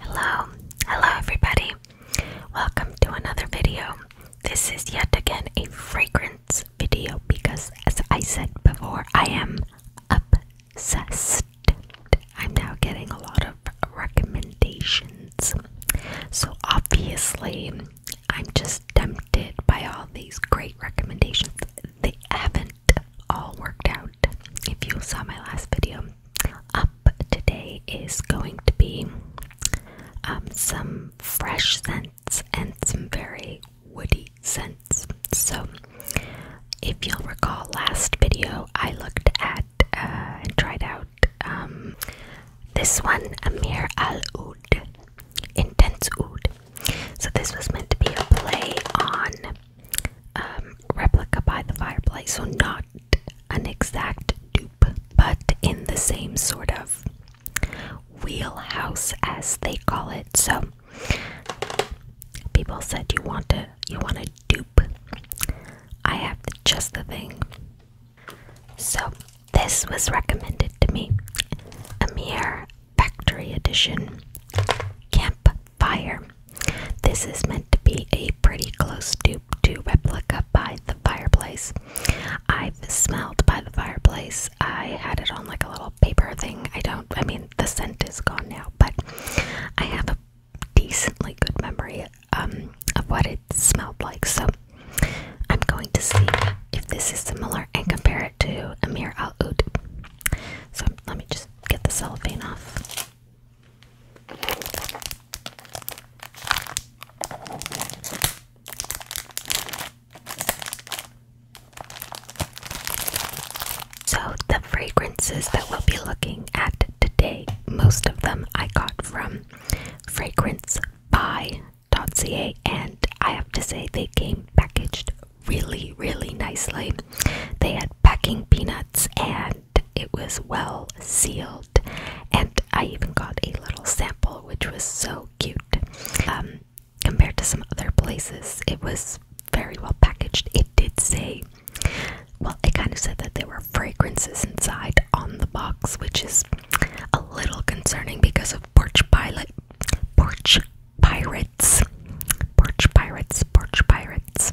Hello, hello everybody. Welcome to another video. This is yet again a fragrance video because as I said before, I am obsessed. I'm now getting a lot of recommendations. So obviously, I'm just tempted by all these great recommendations. They haven't all worked out. If you saw my last video, up today is going to be um, some fresh scents and some very woody scents. So, if you'll recall, last video I looked at uh, and tried out um, this one, Amir Al Oud, Intense Oud. So, this was meant to be a play on um, replica by the fireplace, so not an exact dupe, but in the same sort of wheelhouse as they call it. So people said you want to you want a dupe. I have just the thing. So this was recommended to me. A mere Factory Edition Campfire. This is meant to be a pretty close dupe to replica by the fireplace. I've smelled by the fireplace. I had it on like a little paper thing. I don't, I mean, the scent is gone now, but I have a decently good memory um, of what it smelled like. So I'm going to see if this is similar and compare it to Amir Al Oud. So let me just get the cellophane off. So, the fragrances that we'll be looking at today, most of them I got from Fragrance by.ca, and I have to say they came packaged really, really nicely. They had packing peanuts and it was well sealed. And I even got a little sample, which was so cute. Um, compared to some other places, it was very well packaged. It did say, well, it kind of said that there were fragrances inside on the box, which is a little concerning because of Porch Pilot. Porch pirates. Porch pirates, porch pirates.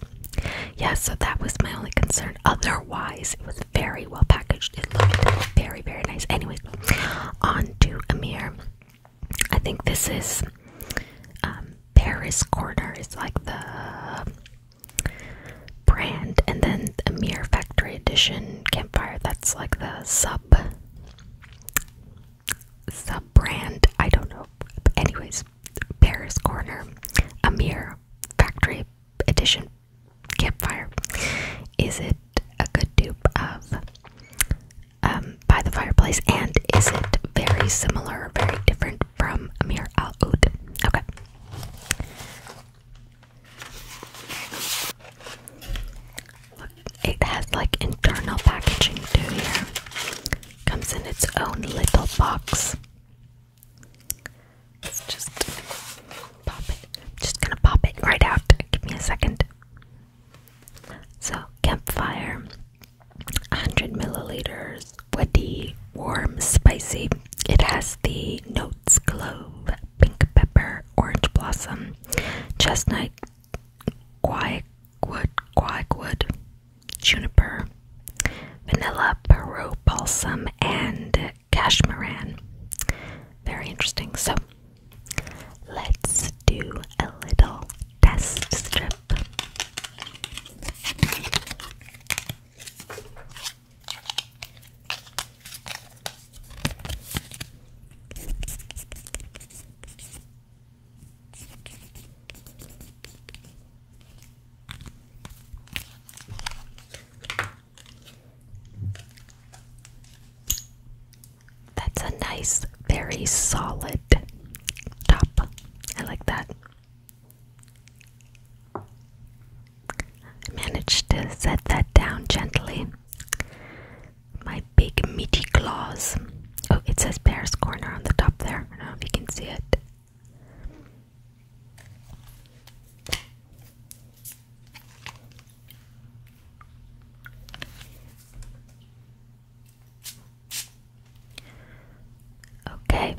Yeah, so that was my only concern. Otherwise, it was very well packaged. It looked very, very nice. Anyway, on to Amir. I think this is um, Paris Corner, It's like the brand, and then Amir Factory Edition Campfire, that's like the sub sub brand, I don't know. anyways, Paris Corner, Amir Factory Edition Campfire. Is it a good dupe of um, By the Fireplace? And is it very similar, very different from Amir Al Oud? Okay. It has like internal packaging too here. Comes in its own little box. Let's just pop it. just gonna pop it right out. Give me a second. So, campfire, 100 milliliters, woody, warm, spicy. It has the notes clove, pink pepper, orange blossom, chestnut, guac, wood, quagwood, juniper, vanilla, peru balsam, and cashmeran. Very interesting. So let's do a little test strip. That's a nice, very solid top. I like that. I managed to set that down gently my big meaty claws. Oh, it says Bear's Corner on the top there. I don't know if you can see it. Okay.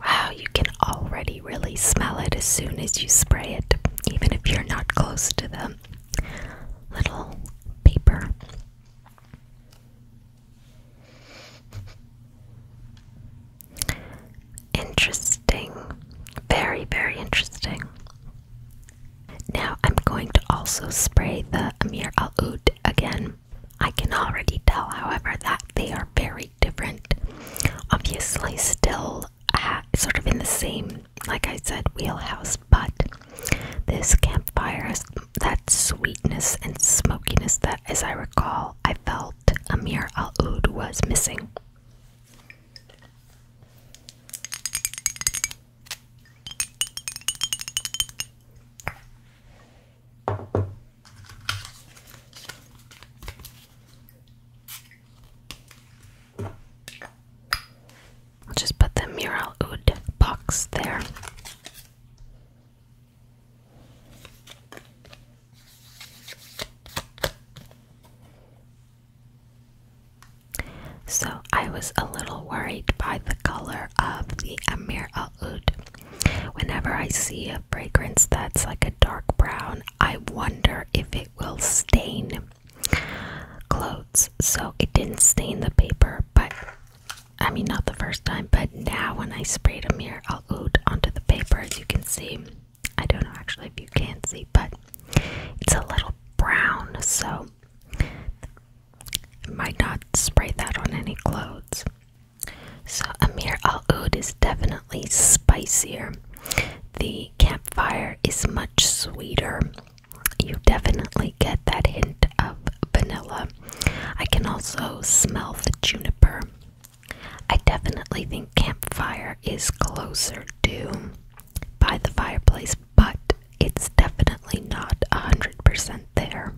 Wow, you can already really, smell it as soon as you spray it, even if you're not close to the little paper. Interesting. Very, very interesting. Now I'm going to also spray the Amir Al Oud again. I can already tell, however, that they are very different. Obviously, still sort of in the same, like I said, wheelhouse, but this campfire has that sweetness and smokiness that, as I recall, I felt Amir Al Oud was missing. I'll just put the mural box there. So I was a little worried by the color of the Amir Al Oud. Whenever I see a fragrance that's like a dark brown, I wonder if it will stain clothes. So it didn't stain the paper, but I mean, not the first time, but now when I spray a mirror, I'll oot onto the paper as you can see. I don't know actually if you can see, but it's a little brown, so I might not spray that on any clothes. So, Amir Al Oud is definitely spicier. The campfire is much sweeter. You definitely get that hint of vanilla. I can also smell the juniper. I definitely think campfire is closer to by the fireplace, but it's definitely not 100% there.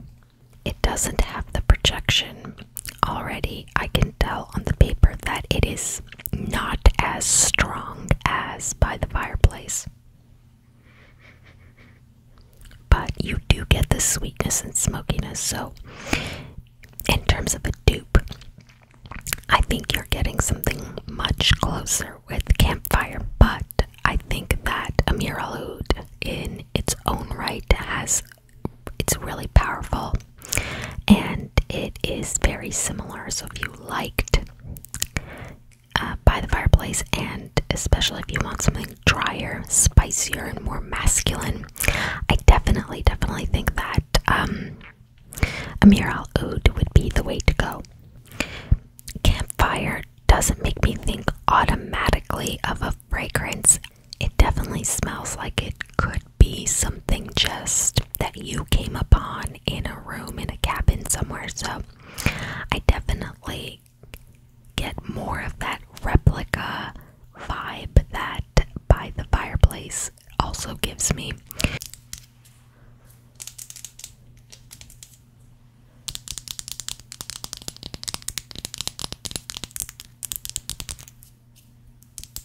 It doesn't have the projection Already, I can tell on the paper that it is not as strong as by the fireplace. But you do get the sweetness and smokiness, so in terms of a dupe, I think you're getting something much closer with campfire. But I think that Amir Aloud, in its own right, has it's really powerful and it is very similar. So if you liked uh, by the fireplace, and especially if you want something drier, spicier, and more masculine, I definitely, definitely think that um, Amir Al Oud would be the way to go. Campfire doesn't make me think automatically of a fragrance it definitely smells like it could be something just that you came upon in a room in a cabin somewhere. So I definitely get more of that replica vibe that by the fireplace also gives me.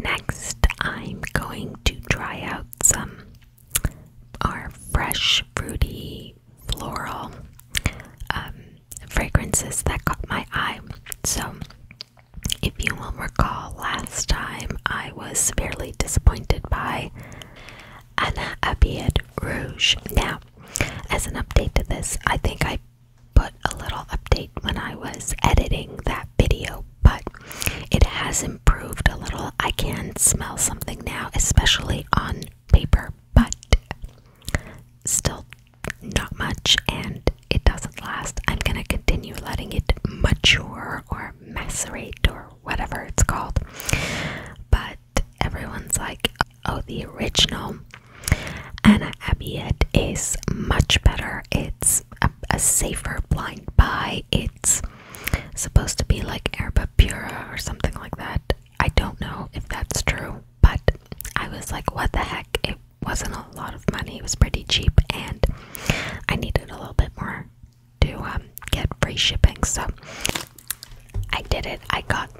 Next, I'm going to try out some our fresh fruity floral um, fragrances that caught my eye. So, if you will recall, last time I was severely disappointed by Anna Abiad Rouge. Now, as an update to this, I think I put a little update when I was editing that video, but it has improved a little. I can smell something now, especially on paper, but still not much, and it doesn't last. I'm gonna continue letting it mature or macerate or whatever it's called, but everyone's like, oh, the original Anna Abbott is much better. It's a, safer blind buy. It's supposed to be like Erba Pura or something like that. I don't know if that's true, but I was like, what the heck? It wasn't a lot of money. It was pretty cheap, and I needed a little bit more to um, get free shipping. So I did it. I got.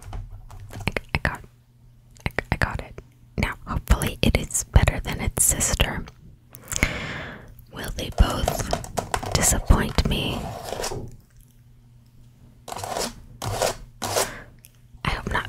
I, got. I, I got it. Now, hopefully, it is better than its sister. Will they both disappoint me? I hope not.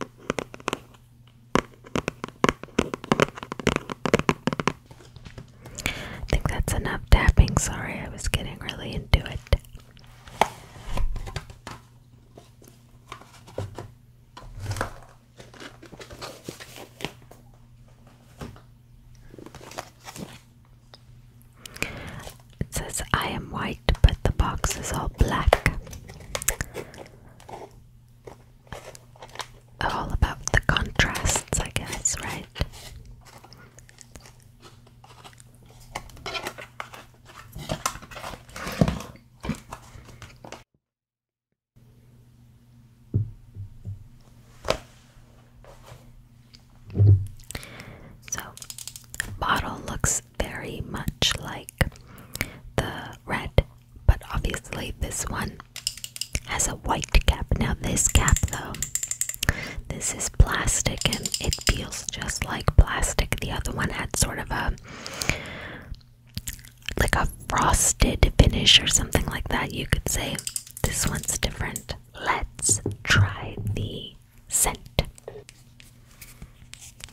I think that's enough tapping. Sorry, I was getting really into it. It says, I am white, but the box is all black all about the contrasts, I guess, right? So, bottle looks very much like the red, but obviously this one has a white cap. Now, this cap, though, this is plastic and it feels just like plastic. The other one had sort of a like a frosted finish or something like that, you could say. This one's different. Let's try the scent.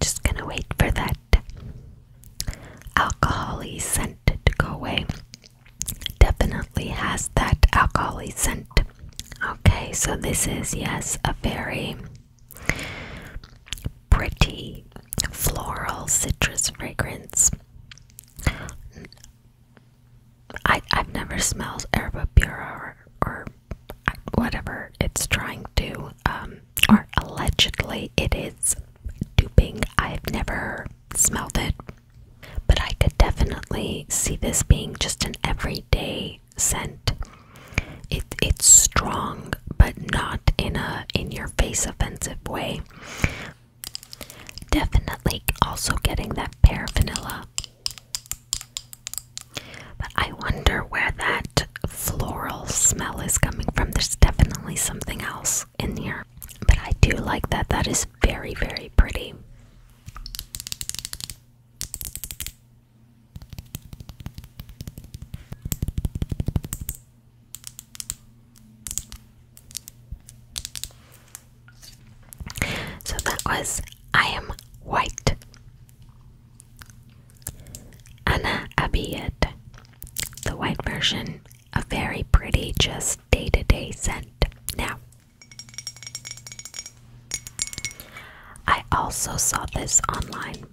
Just gonna wait for that alcoholy scent to go away. Definitely has that alcoholy scent. Okay, so this is, yes, a very pretty floral citrus fragrance. I, I've never smelled Herba or whatever it's trying to, um, or allegedly it is duping. I've never smelled it, but I could definitely see this being just an everyday scent. it's strong, but not in a in your face offensive way. Definitely also getting that pear vanilla. But I wonder where that floral smell is coming from. There's definitely something else in here. But I do like that. That is very, very pretty. So that was I am white. Anna Abiyad. The white version. A very pretty, just day to day scent. Now, I also saw this online.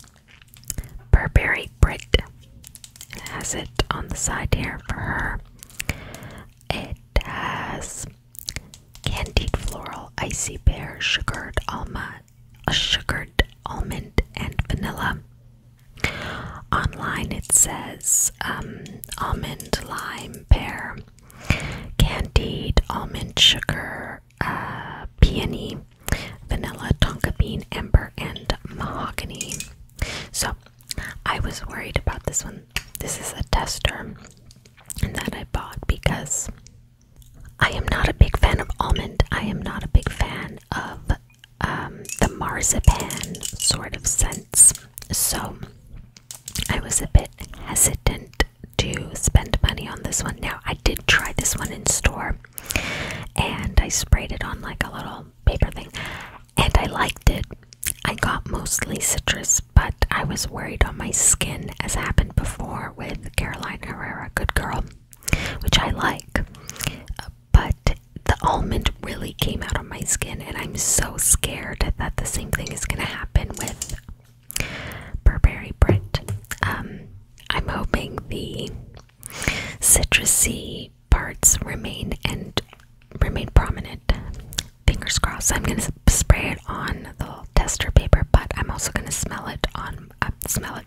Burberry Brit. It has it on the side here for It does candied floral icy pear, sugared almond, a sugared almond and vanilla. Online it says um, almond lime pear, candied almond sugar, uh, peony, vanilla tonka bean, amber, and mahogany. So I was worried about this one. This is a tester. And that I bought because I am not a big fan of almond. I am not a big fan of um, the marzipan sort of scents. So I was a bit hesitant to spend money on this one. Now, I did try this one in store and I sprayed it on like a little paper thing and I liked it. I got mostly citrus, but I was worried on my skin, as happened before with Caroline Herrera Good Girl, which I like. But the almond really came out on my skin, and I'm so scared that the same thing is going to happen with Burberry Brit. Um, I'm hoping the citrusy parts remain and remain prominent fingers crossed. I'm gonna spray it on the tester paper, but I'm also gonna smell it on. Uh, smell it.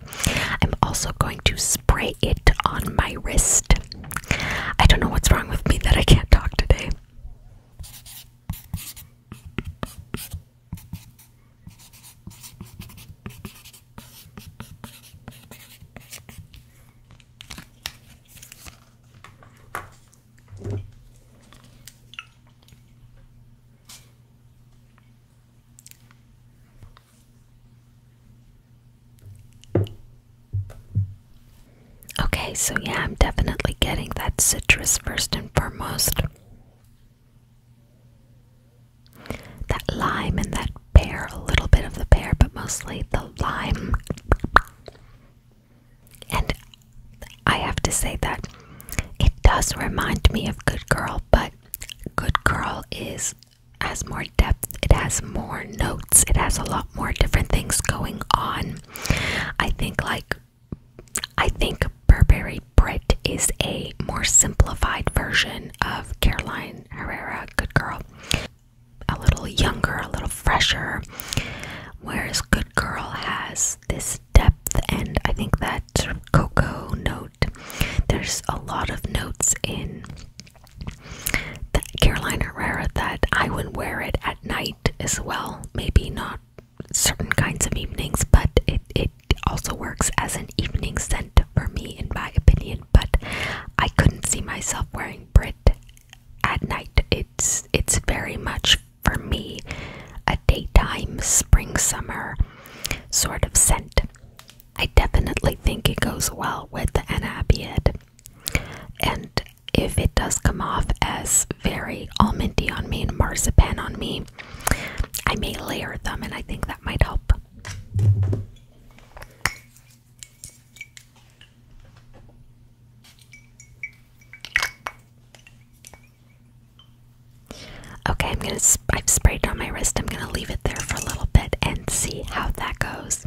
I'm also going to spray it on my wrist. I don't know what's wrong with me that I can't talk today. Okay, so yeah, I'm definitely getting that citrus first and foremost. That lime and that pear, a little bit of the pear, but mostly the lime. And I have to say that it does remind me of Good Girl, but Good Girl is has more depth, it has more notes, it has a lot more different things going on. I think like I think Burberry Brit is a more simplified version of Caroline Herrera Good Girl a little younger, a little fresher. Whereas Good Girl has this depth, and I think that sort of cocoa note. There's a lot of notes in the Carolina Herrera that I would wear it at night as well. Maybe not certain kinds of evenings, but it, it also works as an evening scent for me, in my opinion. But I couldn't see myself wearing Brit at night. It it's it's very much for me a daytime spring summer sort of scent. I definitely think it goes well with the Anabiad. And if it does come off as very almondy on me and marzipan on me, I may layer them and I think that might help. Okay, I'm gonna. Sp I've sprayed it on my wrist. I'm gonna leave it there for a little bit and see how that goes.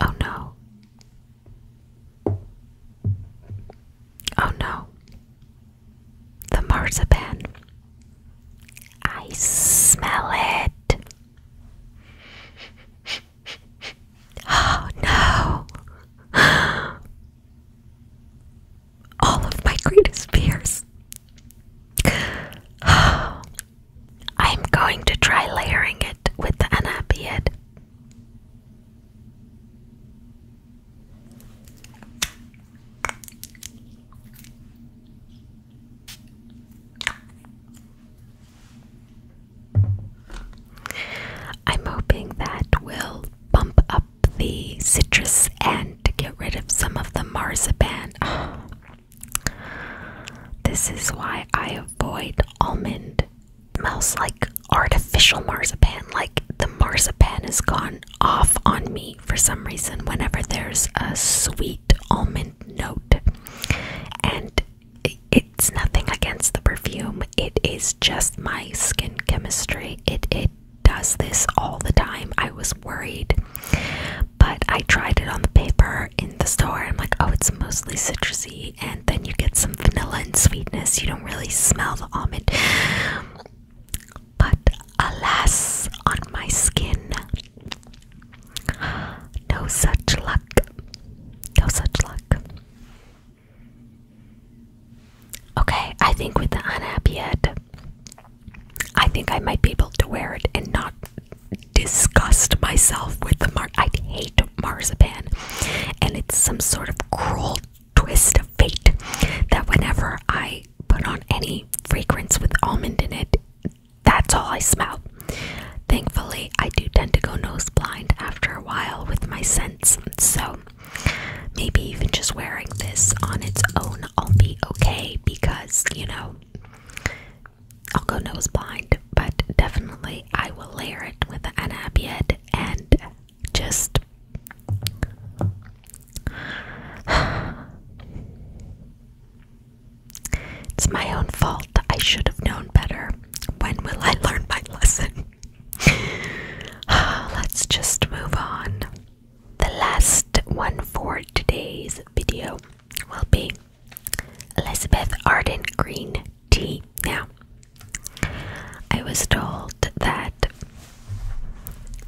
Oh no. Oh no the marzipan. I smell it. Oh no. All of my greatest fears. I'm going to try layering it with the anapiad. I'm hoping that will bump up the citrus and get rid of some of the marzipan. This is why I avoid almond Mouse like artificial marzipan. Like the marzipan has gone off on me for some reason whenever there's a sweet almond note. And it's nothing against the perfume. It is just my skin chemistry. It it does this all the time. I was worried. But I tried it on the paper in the store. I'm like, oh, it's mostly citrusy. And then you get some vanilla and sweetness. You don't really smell the almond. But alas, on my skin, no such luck. No such luck. Okay, I think with the unhappy head, I think I might be able to wear it and not disgust myself with the mark. I hate marzipan, and it's some sort of cruel twist of fate that whenever I put on any fragrance with almond in it, that's all I smell. Thankfully, I do tend to go nose blind after a while with my sense, so maybe even just wearing this on its own, I'll be okay because you know I'll go nose blind, but definitely I will layer it with an Anabiad and just it's my own fault. I should have known better. When will I learn my lesson? Let's just move on. The last one for today's video will be Elizabeth Arden Green tea. Now, I was told that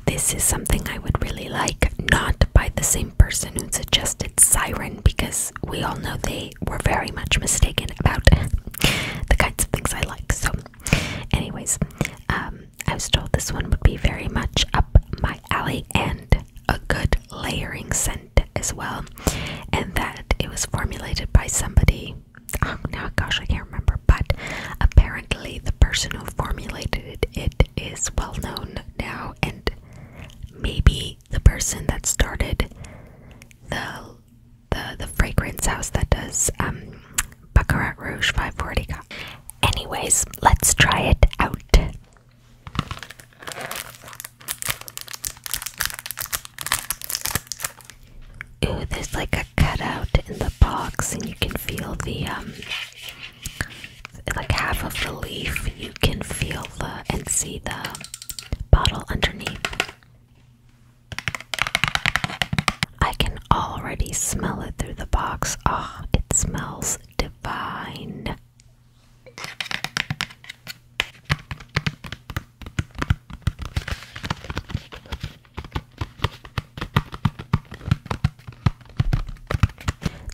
this is something I would really like, not by the same person who suggested Siren, because we all know they were very much mistaken about the kinds of things I like. So, anyways, um, I was told this one would be very much up my alley and a good layering scent as well, and that it was formulated by somebody um, oh, now gosh I can't remember but apparently the person who formulated it is well known now and maybe the person that started the the, the fragrance house that does um Baccarat Rouge 540 anyways let's try it out Ooh, there's like a cutout in the box, and you can feel the um, like half of the leaf. You can feel the and see the bottle underneath. I can already smell it through the box. Ah, oh, it smells divine.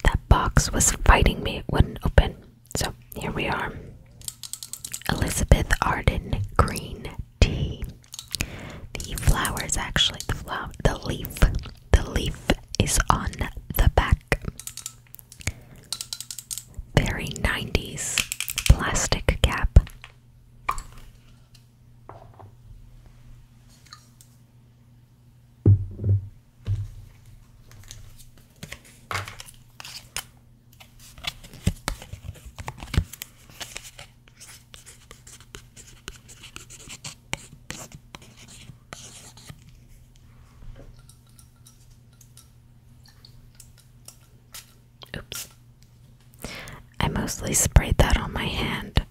That box was fighting me, it wouldn't open. So here we are. Elizabeth Arden green tea. The flower is actually the flower the leaf. The leaf is on the back. Very 90s plastic cap. Oops. I mostly sprayed that on my hand.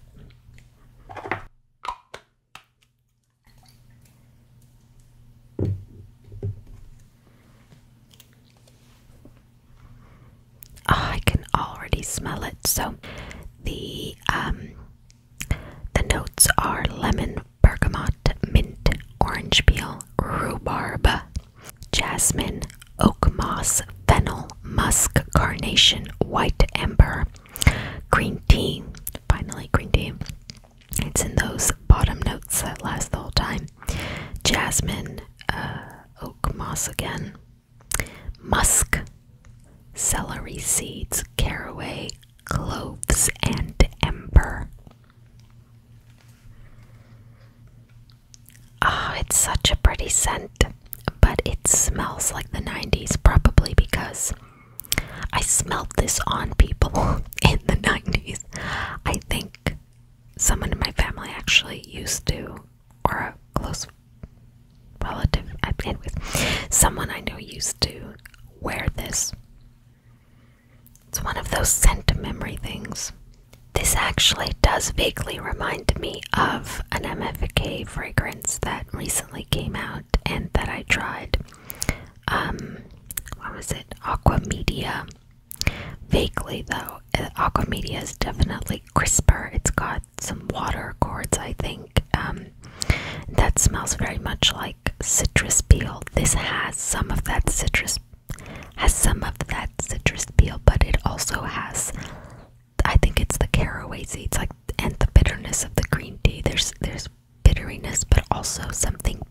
Ah, I can already smell it. So the um the notes are lemon, bergamot, mint, orange peel, rhubarb, jasmine, oak moss, fennel, musk, carnation, white amber, green tea. Finally, green tea. It's in those bottom notes that last the whole time. Jasmine, uh, oak moss again, musk, celery seeds, caraway, cloves, and amber. Oh, it's such a pretty scent, but it smells like the 90s, probably because I smelled this on people in the 90s. I think someone in my family actually used to, or a close relative I've been with, someone I know used to wear this it's one of those scent memory things. This actually does vaguely remind me of an MFK fragrance that recently came out and that I tried. Um, what was it? Aquamedia. Vaguely though, uh, Aquamedia is definitely crisper. It's got some water chords, I think. Um, that smells very much like citrus peel. This has some of that citrus has some of that citrus peel, but it also has I think it's the caraway seeds like and the bitterness of the green tea. There's there's bitteriness but also something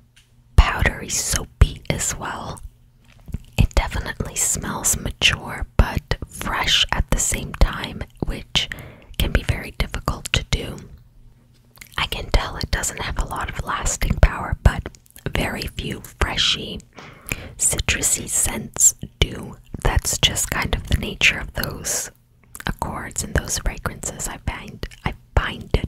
powdery soapy as well. It definitely smells mature but fresh at the same time, which can be very difficult to do. I can tell it doesn't have a lot of lasting power, but very few freshy, citrusy scents do. That's just kind of the nature of those accords and those fragrances. I find I find it.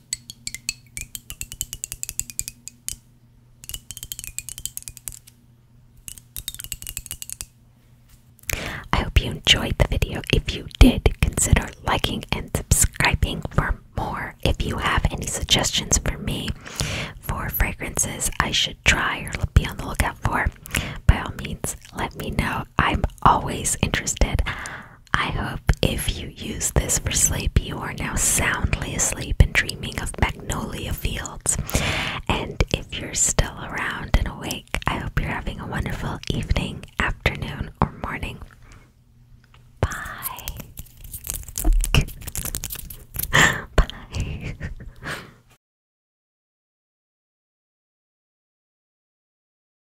I hope you enjoyed the video. If you did, consider liking and subscribing for more. If you have any suggestions for me for fragrances I should try or be on the lookout for, by all means, let me know. I'm always interested. I hope if you use this for sleep, you are now soundly asleep and dreaming of magnolia fields. And if you're still around and awake, I hope you're having a wonderful evening, afternoon, or morning. Bye. Bye.